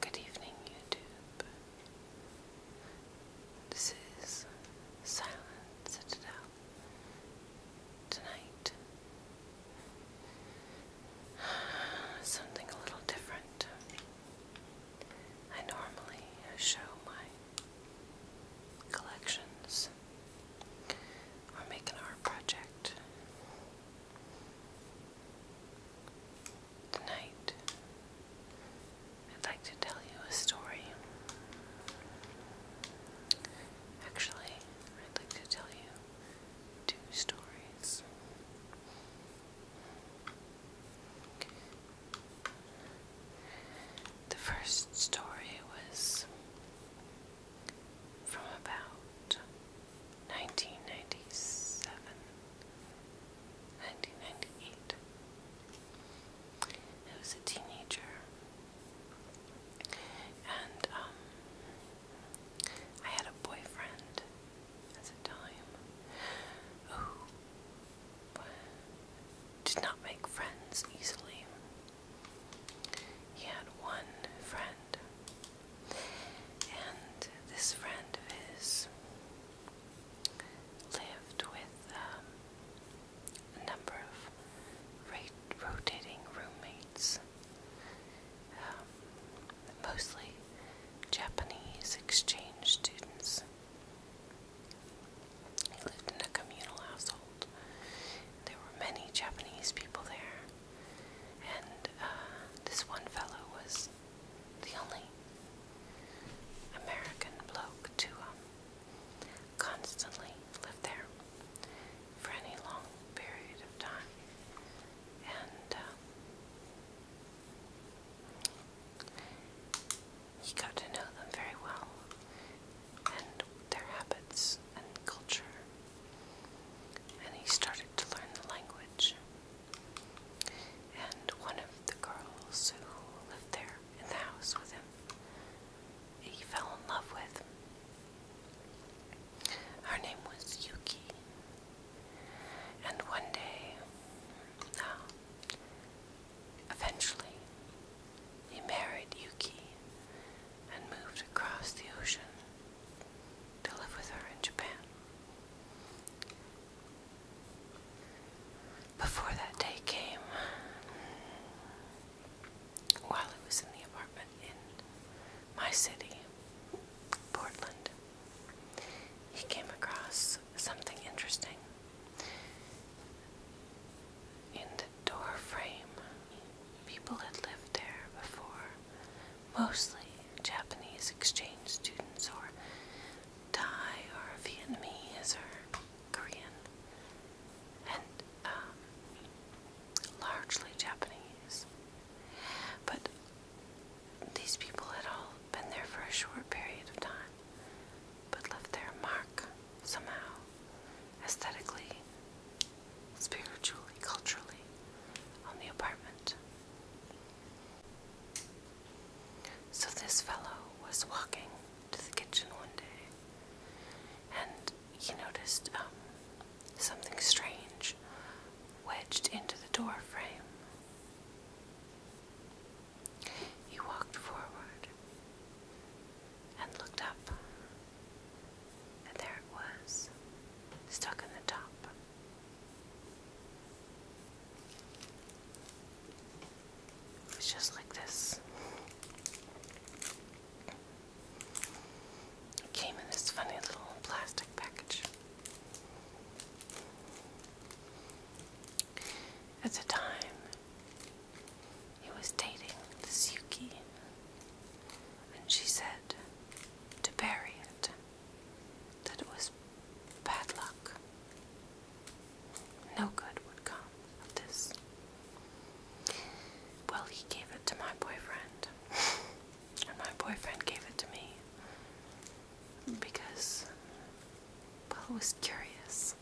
Good evening, YouTube. This is Silent Citadel. Tonight, something a little different. I normally show my collections or make an art project. Tonight, I'd like to tell you a story. Actually, I'd like to tell you two stories. The first story was from about 1997, I was a teenager, and um, I had a boyfriend at the time who did not make friends easily. He had one friend, and this friend of his lived with um, a number of rotating roommates, um, mostly Japanese exchange students. He lived in a communal household there were many Japanese people there, and uh, this one fellow was the only American bloke to um, constantly live there for any long period of time. And uh, he got to know them very well and their habits and culture. And he started to learn the language. And one of the girls who lived there in the house with him, he fell in love with. Her name was Yuki. And one day, uh, eventually, he married Yuki and moved across the ocean to live with her in Japan. Before that day came, while he was in the apartment in my city, Portland, he came across something interesting in rusted door frame. People had lived there before, mostly Japanese exchange students or Thai or Vietnamese or Korean, and um, largely Japanese. But these people had all been there for a short period of time, but left their mark somehow, aesthetically, spiritually, culturally, on the apartment. So this fellow was walking to the kitchen one day and he noticed um, something strange wedged into the door frame. He walked forward and looked up. And there it was, stuck in the top. It was just like this. It came in this funny little plastic package. At the time, he was dating this Yuki, and she said to bury it, that it was bad luck. No good would come of this. Well, he gave it to my boyfriend, and my boyfriend gave it to me because, well, he was curious.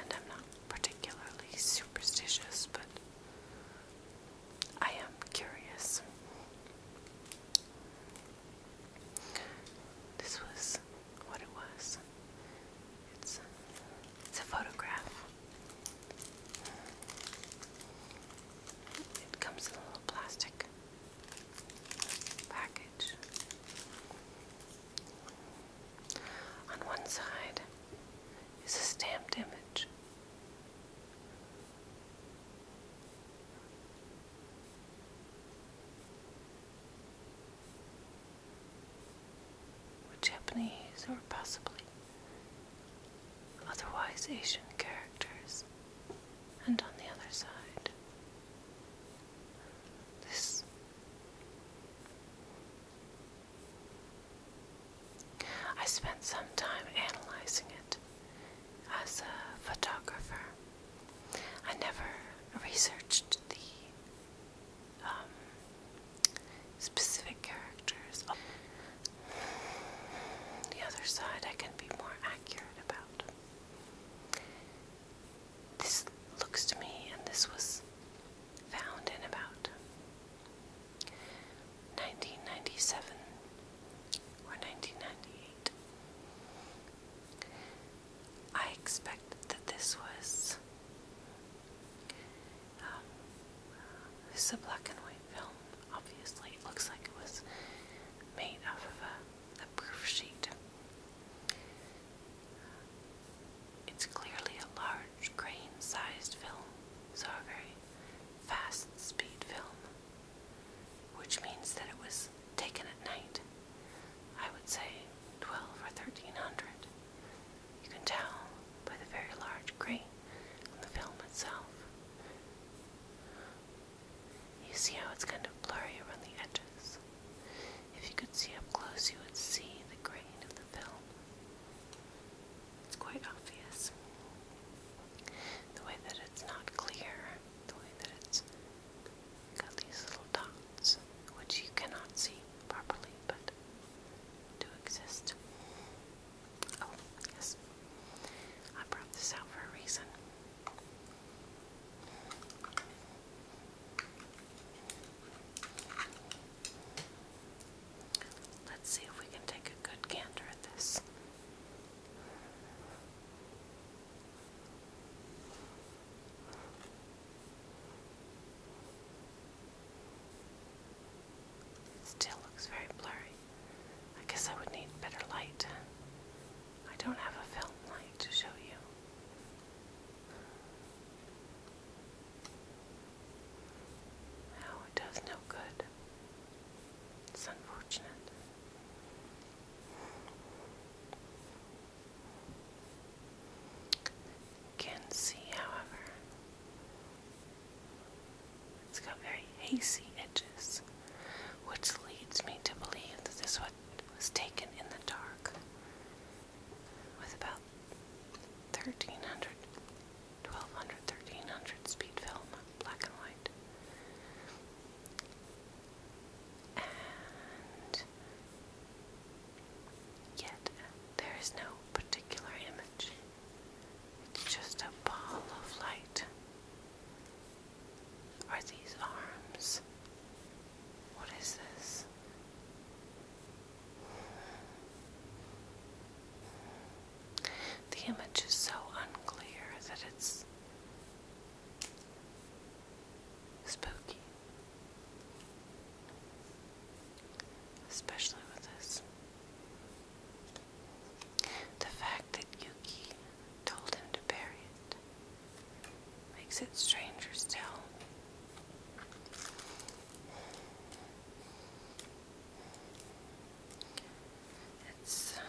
And I'm not particularly superstitious, but I am curious. This was what it was. It's it's a photograph. It comes in a little plastic package. On one side is a stamped image. With Japanese or possibly otherwise Asian characters, and on the other side, this I spent some time analyzing it as a photographer. I never researched the um, specific characters. The other side I can be more accurate about. This looks to me, and this was found in about 1997 or 1998. I expect that this was. Um, this is a black and white film. Obviously, it looks like it was made out of a proof sheet. It's clearly a large grain sized film, so a very fast speed film, which means that it was taken at night. I would say 12 or 1300. You can tell by the very large grain on the film itself. You see how it's kind of blurry around the edges. If you could see up close, you would see the grain of the film. It's quite obvious. The way that it's not clear, the way that it's got these little dots, which you cannot see properly, but do exist. Oh, yes. I brought this out for a reason. Let's see if we can take a good gander at this. still looks very blurry. I guess I would need better light. I don't have a film light to show you. No, it does no good. It's unfortunate. Can see, however, it's got very hazy edges, which leads me to believe that this one was taken in the dark with about 1300, 1200, 1300 speed film, black and white. And yet, there is no particular image, it's just a ball of light. Are these arms? What is this? The image is so unclear that it's spooky, especially with this. The fact that Yuki told him to bury it Makes it stranger still. It's. Um,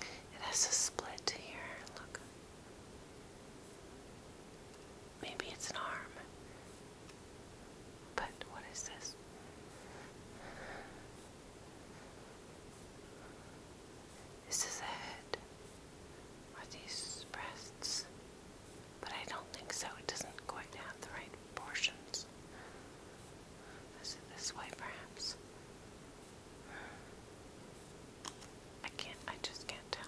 it has a split here. Look. Maybe it's an arm. But what is this? This is the head. Are these breasts? But I don't think so. It doesn't quite have the right proportions. Is it this way, perhaps? I can't, I just can't tell.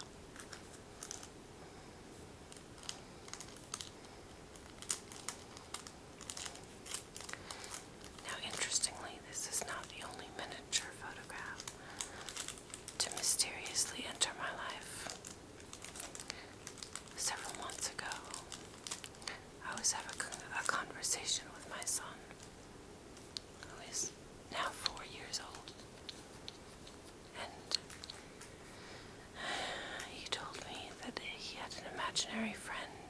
Now, interestingly, this is not the only miniature photograph to mysteriously enter my life. Several months ago, I was having a conversation with my son, who is now four years old, and he told me that he had an imaginary friend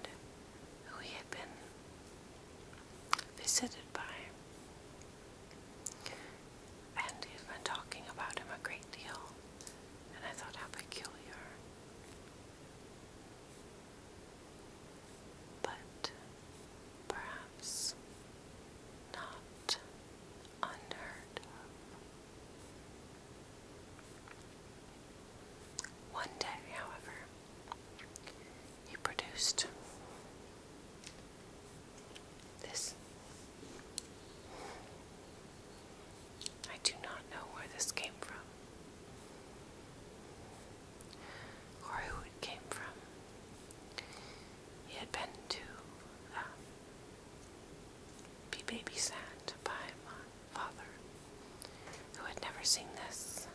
who he had been visited by him. And he'd been talking about him a great deal, and I thought how peculiar. But perhaps not unheard of. One day, however, he produced this. I do not know where this came from or who it came from. He had been to um, be babysat by my father, who had never seen this.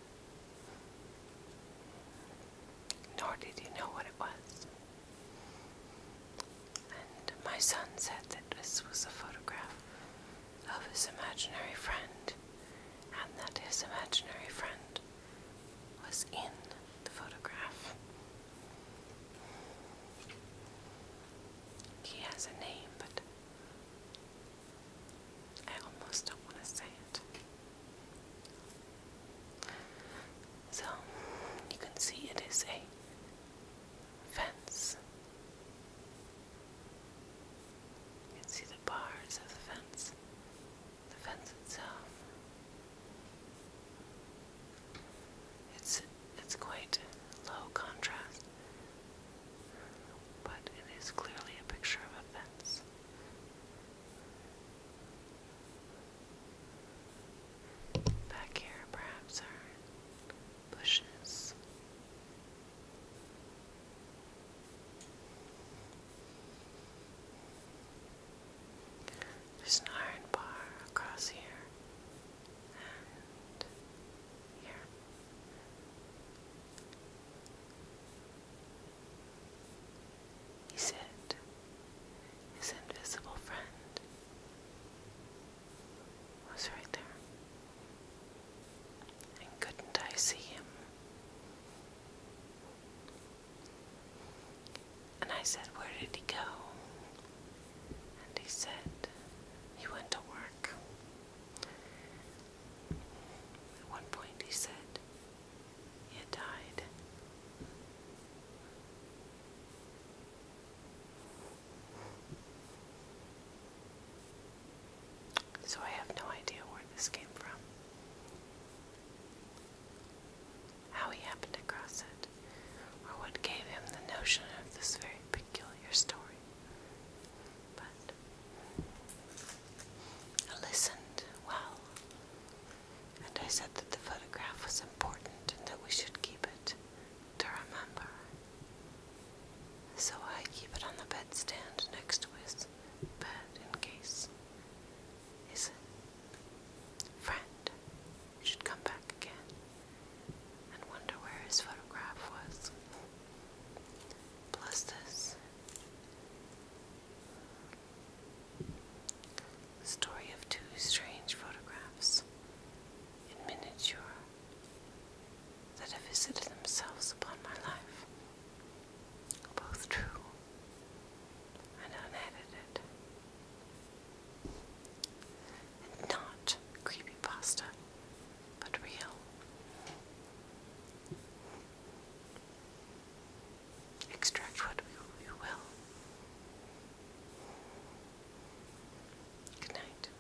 Nor did he know what it was. And my son said that this was a photograph of his imaginary friend, and that his imaginary friend was in the photograph. He has a name, but I almost don't want to say it. So, you can see it is a fence. You can see the bars of the fence, the fence itself. It's it's quite low contrast. But it is clearly a picture of a fence. Back here, perhaps, are bushes. There's an iron bar across here and here. He said, his invisible friend was right there. And couldn't I see him? And I said, Where did he go? And he said, He went to work. At one point, he said he had died. So I have no idea where this came from. How he happened across it, or what gave him the notion of this very peculiar story but I listened well, and I said that the photograph was important and that we should keep it to remember. So I keep it on the bedstand next to his bed in case his friend should come back again and wonder where his photograph was plus this story of two strange photographs in miniature that have visited themselves upon my life, both true and unedited. And not creepypasta but real. Extract what we, will. Good night.